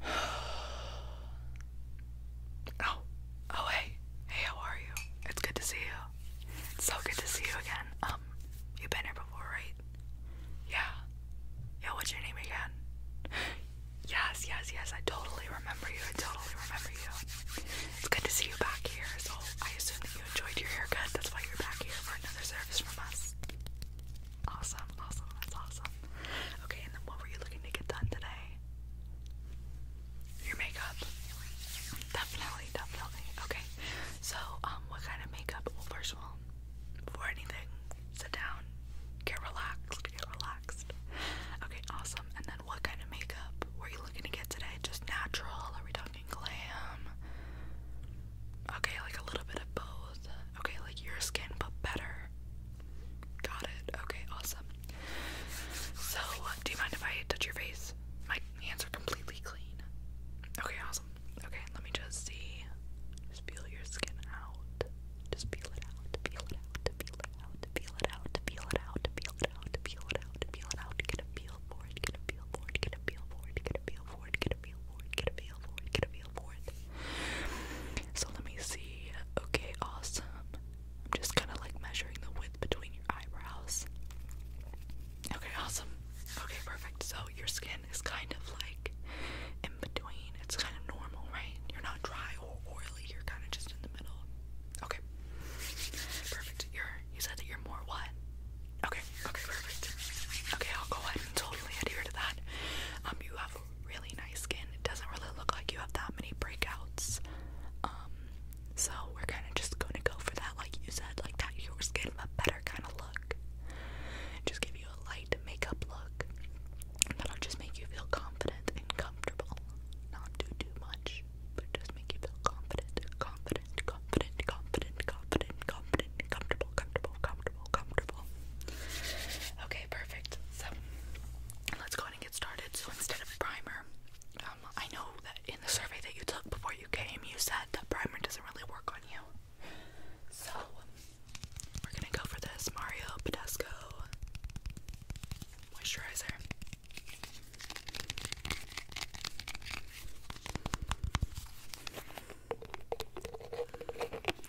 Oh, oh hey, hey, how are you? It's good to see you. It's so good to see you again. Um, you been here before, right? Yeah. Yeah, what's your name again? Yes, yes, yes, I totally remember you. I totally remember you. It's good to see you back here. So I assume that you enjoyed your haircut. That's why you're back here for another service from us. Awesome, awesome, that's awesome. Okay, and then what were you looking to get done today? Your makeup. Definitely, definitely. Okay. So, um, what kind of makeup? first of all, before anything, sit down, get relaxed, get relaxed. Okay, awesome. And then what kind of makeup were you looking to get today? Just natural? Are we talking glam? Okay, like a little bit of both. Okay, like your skin, but better. Got it. Okay, awesome. So, do you mind if I touch your face? My hands are completely clean. Okay, awesome. Okay, let me just see. Just peel your skin out. Just peel it out. Peel it out. Peel it out. Peel it out. Peel it out. Peel it so let me see. Okay, awesome. I'm just kind of like measuring the width between your eyebrows. Okay, awesome. Okay, perfect. So your skin is kind of like in between. It's kind of normal, right? You're not dry or oily. You're kind of just in the middle. Okay. Perfect. Your you said that you're more what? Okay, okay, perfect. Okay, I'll go ahead and totally adhere to that. Um, you have really nice skin. It doesn't really look like you have that many breakouts. Um, so we're kind of just going to go for that, like you said, like that your skin a better kind of look. Just give you a light makeup look that'll just make you feel confident and comfortable. Not do too much but it make you feel confident, confident, confident, confident, confident, confident, comfortable, comfortable, comfortable, comfortable. Okay, perfect. So let's go and get started. So instead of primer, um, I know that in the survey that you took before you came, you said that primer doesn't really work on you. So we're gonna go for this Mario Badescu moisturizer.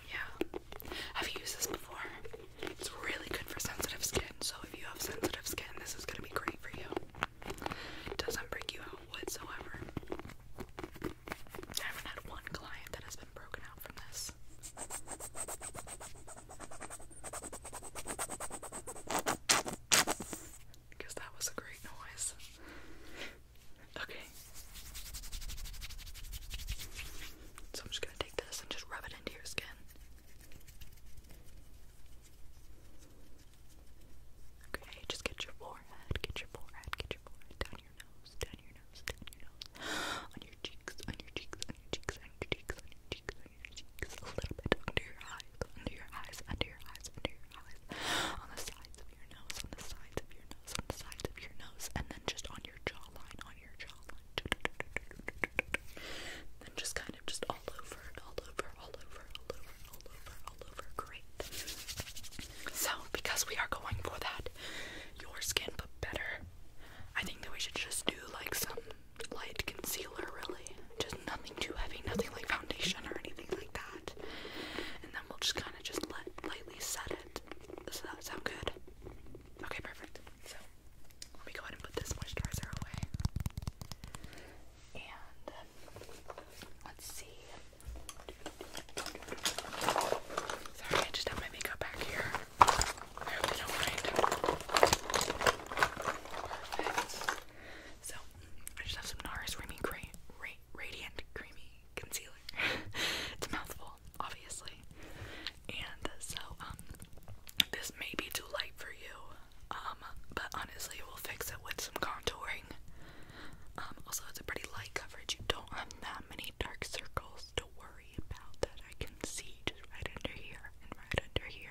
Yeah. Have used this before? It's really good for sensitive skin, so if you have sensitive skin, this is gonna be great for you. It doesn't break you out whatsoever. I haven't had one client that has been broken out from this. Because that was a great noise. Okay. So I'm just gonna take this and just rub it into your skin. Okay, just get your forehead, get your forehead, get your forehead, down your nose, down your nose, down your nose, on your cheeks, on your cheeks, on your cheeks, on your cheeks, on your cheeks, your cheeks, a little bit under your eyes, under your eyes, under your eyes, under your eyes, on the sides of your nose, on the sides of your nose, on the sides of your nose, and then just on your jawline, on your jawline. Then just kind of just all over all over, all over, all over, all over, all over. Great. So, because we are going for that, your skin but better, I think that we should just do like some light concealer, really. Just nothing too heavy, nothing like foundation or anything like that. And then we'll just kind of just let lightly set it. Does that sound good? Okay, perfect. So let me go ahead and put this moisturizer away. And let's see. Sorry, I just have my makeup back here. I So, I just have some NARS Radiant Creamy Concealer. it's a mouthful, obviously. And so, um, this may be too light for you, um, but honestly, we'll fix it with some contouring. Um, also, it's a pretty light coverage. You don't have that many dark circles to worry about that I can see just right under here and right under here.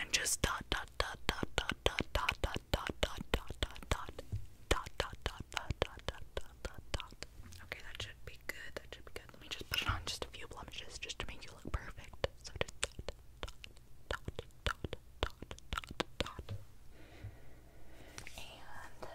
and just dot dot dot dot dot dot dot dot dot dot dot dot dot dot Okay, that should be good. That should be good. Let me just put it on just a few blemishes just to make you look perfect. So just dot dot dot dot dot dot dot and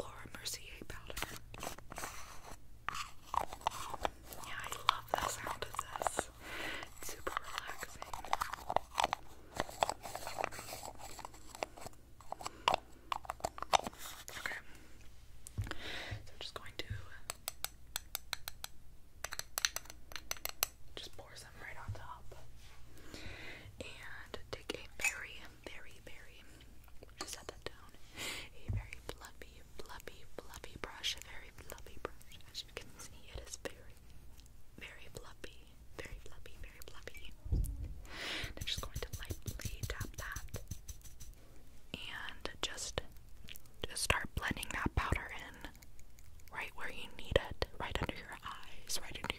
Laura Mercier powder. Yeah, I love the sound of this. super relaxing. Okay. So I'm just going to just pour some right on top and take a very, very, very set that down. A very fluffy, fluffy, fluffy brush. A very fluffy brush. As you can see, it is very, very fluffy. Very fluffy, very fluffy. And I'm just going to lightly tap that. And just, just start blending that powder in right where you need it. Right under your eyes, right under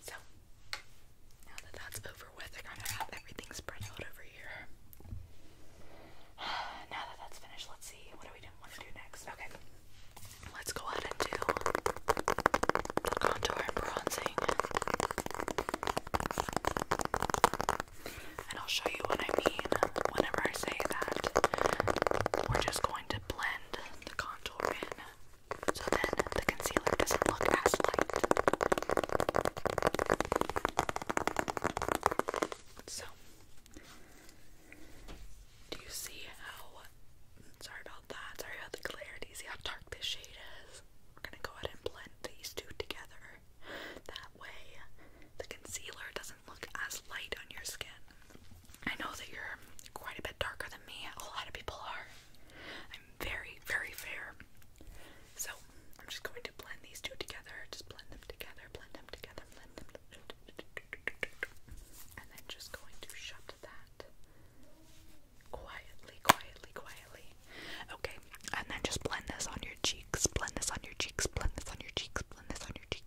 so, now that that's over with, I kind of have everything spread out over here. Now that that's finished, let's see what do we want to do next. Okay, let's go ahead and do contour bronzing, and I'll show you what I mean whenever I say that. We're just going to blend the contour in so then the concealer doesn't look as light. So, do you see how? Sorry about that. Sorry about the clarity. See how dark this shade is. We're gonna go ahead and blend these two together. That way, the concealer doesn't look as light on your skin. I know that you're quite a bit darker than me. A lot of people are. I'm very, very fair. So I'm just going to blend these two together. Just blend them together, blend them together, blend them together. And then just going to shut that quietly, quietly, quietly. Okay, and then just blend this on your cheeks. Blend this on your cheeks. Blend this on your cheeks. Blend this on your cheeks.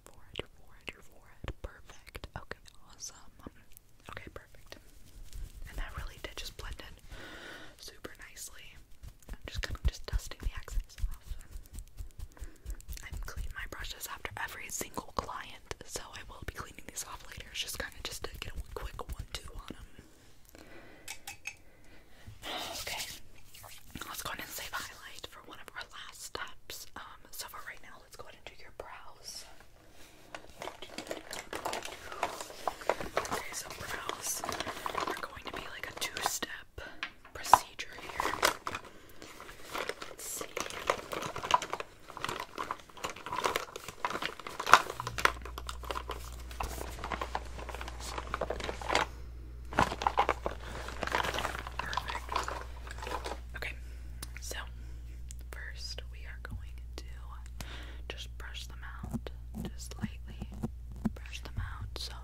forehead, your forehead, your forehead. Perfect. Okay, awesome. Okay, perfect. And that really did just blend in super nicely. I'm just kind of just dusting the excess off. I clean my brushes after every single client, so I will be cleaning these off later. just kind of just to get a quick one-two on them. Okay, let's go ahead and save highlight for one of our last steps. Um, so for right now, let's go ahead and do your brows. Okay, so brows are going to be like a two-step procedure here. Let's see. Okay, so first we are going to just brush them out. Just lightly brush them out. So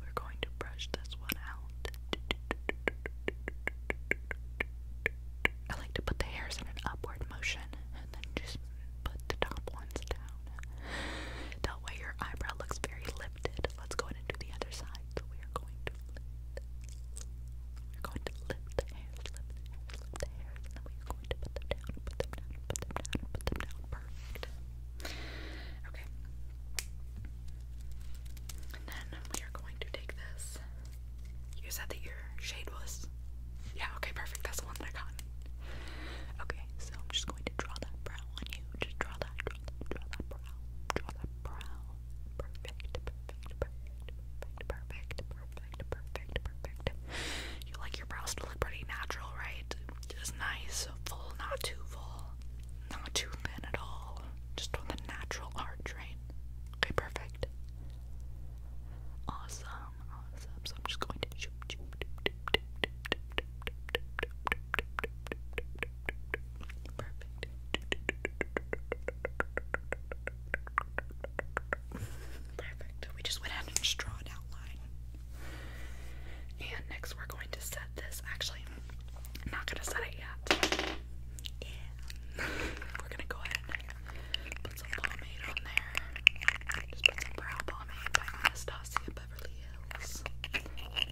we're going to brush this one out. I like to put the hairs in an upward motion and then just put the top ones down. That way your eyebrow looks very lifted. Let's go into the other side. we are going to to flip. We're going to flip the hair, flip the hair, flip the hair, and then we're going to put them down, put them down, put them down, put them down. Perfect. Okay. And then we are going to take this. You said that your shade was. Yeah, okay, perfect. That's the one that I got. Okay, so I'm just going to draw that brow on you. Just draw that, draw that, draw that brow. Draw that brow. Perfect, perfect, perfect, perfect, perfect, perfect, perfect. You like your brows to look pretty natural, right? Just nice, full, not too full, not too thin at all. Just on the natural arch, right? Okay, perfect. Awesome, awesome. So I'm just going Perfect. We just went ahead and strawed outline. And next we're going to set this. Actually, I'm not gonna set it yet. Yeah. we're gonna go ahead and put some pomade on there. Just put some brow pomade by Anastasia Beverly Hills.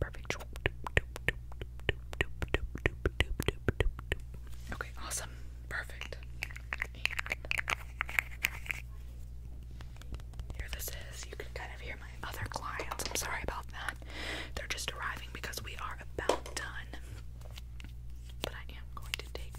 Perfect. Okay, awesome. Perfect. Here this is. You can kind of hear my other clients. I'm sorry about that. They're just arriving because we are about done. But I am going to take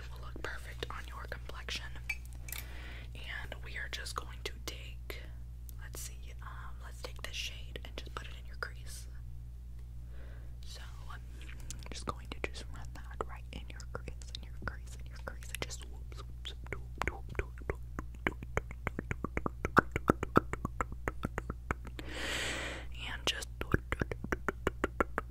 it will look perfect on your complexion. And we are just going to take, let's see, let's take this shade and just put it in your crease. So just going to just run that right in your crease, in your crease, in your crease, and just whoop, whoop, whoop, and just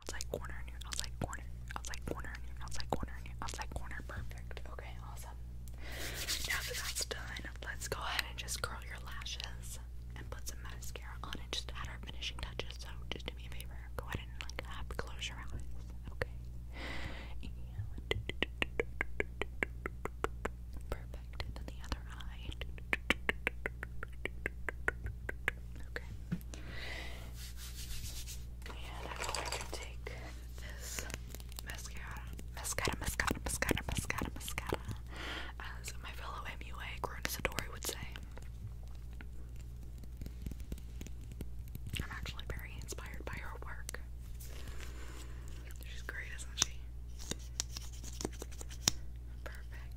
outside corner and your outside corner, outside corner and your outside corner and your outside corner. Perfect. Okay, awesome. Now that that's done, let's go ahead and just curl your lashes and put some mascara on and just add our finishing touches. So just do me a favor, go ahead and like close your eyes. Okay. perfect. And then the other eye. Okay. And I'm going to take this mascara, mascara, mascara, mascara, mascara, mascara, as my fellow MUA, Grun Satori, would say. I'm actually very inspired by her work. She's great, isn't she? Perfect.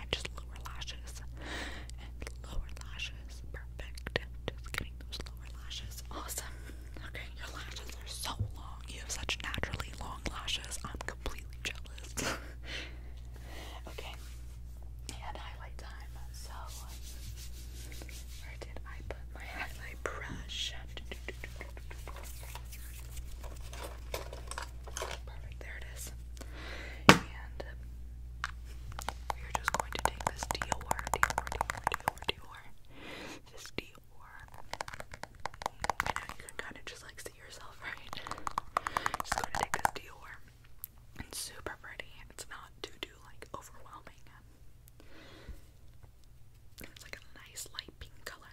and just lower lashes, and lower lashes, perfect, just getting those lower lashes, awesome, okay, your lashes are so long, you have such naturally long lashes, I'm completely jealous, okay, and highlight time, so, where did I put my highlight brush? Perfect, there it is. And we are just going to take this Dior, Dior, Dior, Dior, Dior, this Dior. I know you can kind of just like see yourself, right? Just going to take this Dior. It's super pretty. It's not too do like overwhelming. It's like a nice light pink color.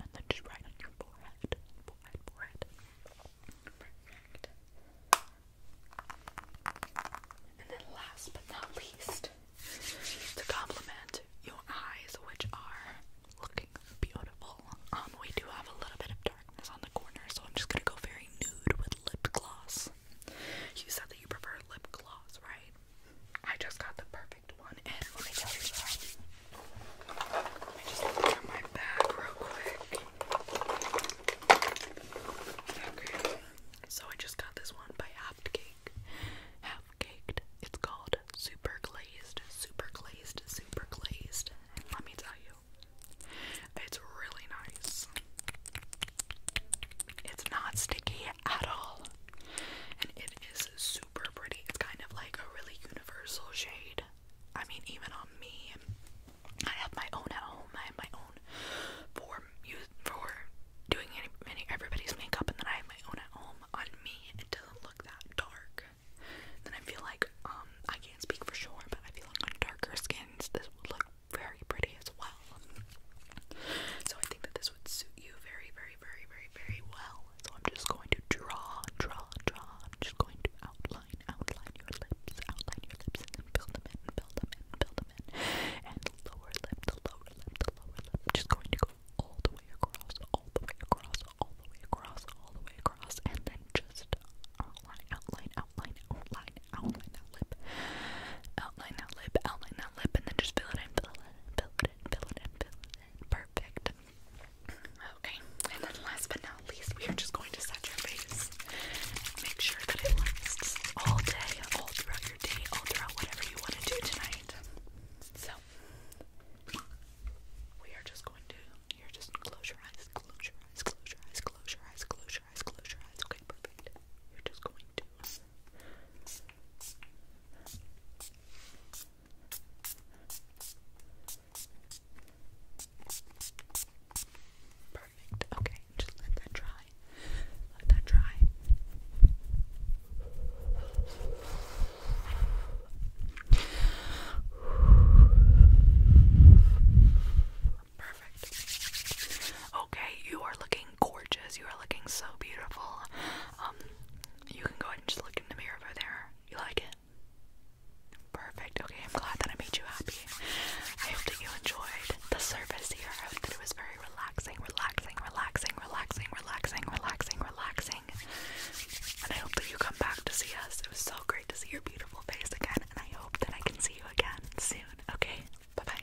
and then just right on your forehead, forehead, forehead. And then last but not least, to compliment your eyes, which are looking beautiful. Um, we do have a little bit of darkness on the corner, so I'm just gonna go very nude with lip gloss. You said that you prefer lip gloss, right? I just got the perfect one, and let me tell you that. Let me just look my bag real quick. so I just got this one by Half Cake. Half Caked. It's called Super Glazed, Super Glazed, Super Glazed. let me tell you, it's really nice. It's not sticky at all. And it is super pretty. It's kind of like a really universal shade. I mean, even on me, I have my own at home. I have my own for for doing any, any everybody's makeup, and then I have my own at home. On me, it doesn't look that dark. Then I feel like um I can't speak for sure, but I feel like on darker skins, this would look very pretty as well. So I think that this would suit you very, very very, very, very, very well. So I'm just going to draw, draw, draw. I'm just going to outline, outline your lips, outline your lips, and then build them in, build them in, build them in. And the lower lip, the lower lip, the lower lip. I'm just going to go all the way across, all the way across, all the way across, all the way across, and then just outline, outline, outline, outline, outline that lip, outline that lip, outline that lip, and then just fill it in, fill it in, fill it Perfect. Okay, and then last but not least, we are just going to set your face. Make sure that it lasts all day, all throughout your day, all throughout whatever you want to do tonight. So, we are just going to, you're just close your eyes, close your eyes, close your eyes, close your eyes, close your eyes, close your eyes. Okay, perfect. You're just going to. Perfect. Okay, just let that dry. Let that dry. Perfect. Okay, you are looking gorgeous. You are looking so beautiful. Um, you can go ahead and just look in the mirror over there. You like it? Perfect. Okay, I'm glad that I made you happy. I hope that you enjoyed the service here. I hope that it was very relaxing, relaxing, relaxing, relaxing, relaxing, relaxing, relaxing. And I hope that you come back to see us. It was so great to see your beautiful face again, and I hope that I can see you again soon. Okay, bye bye.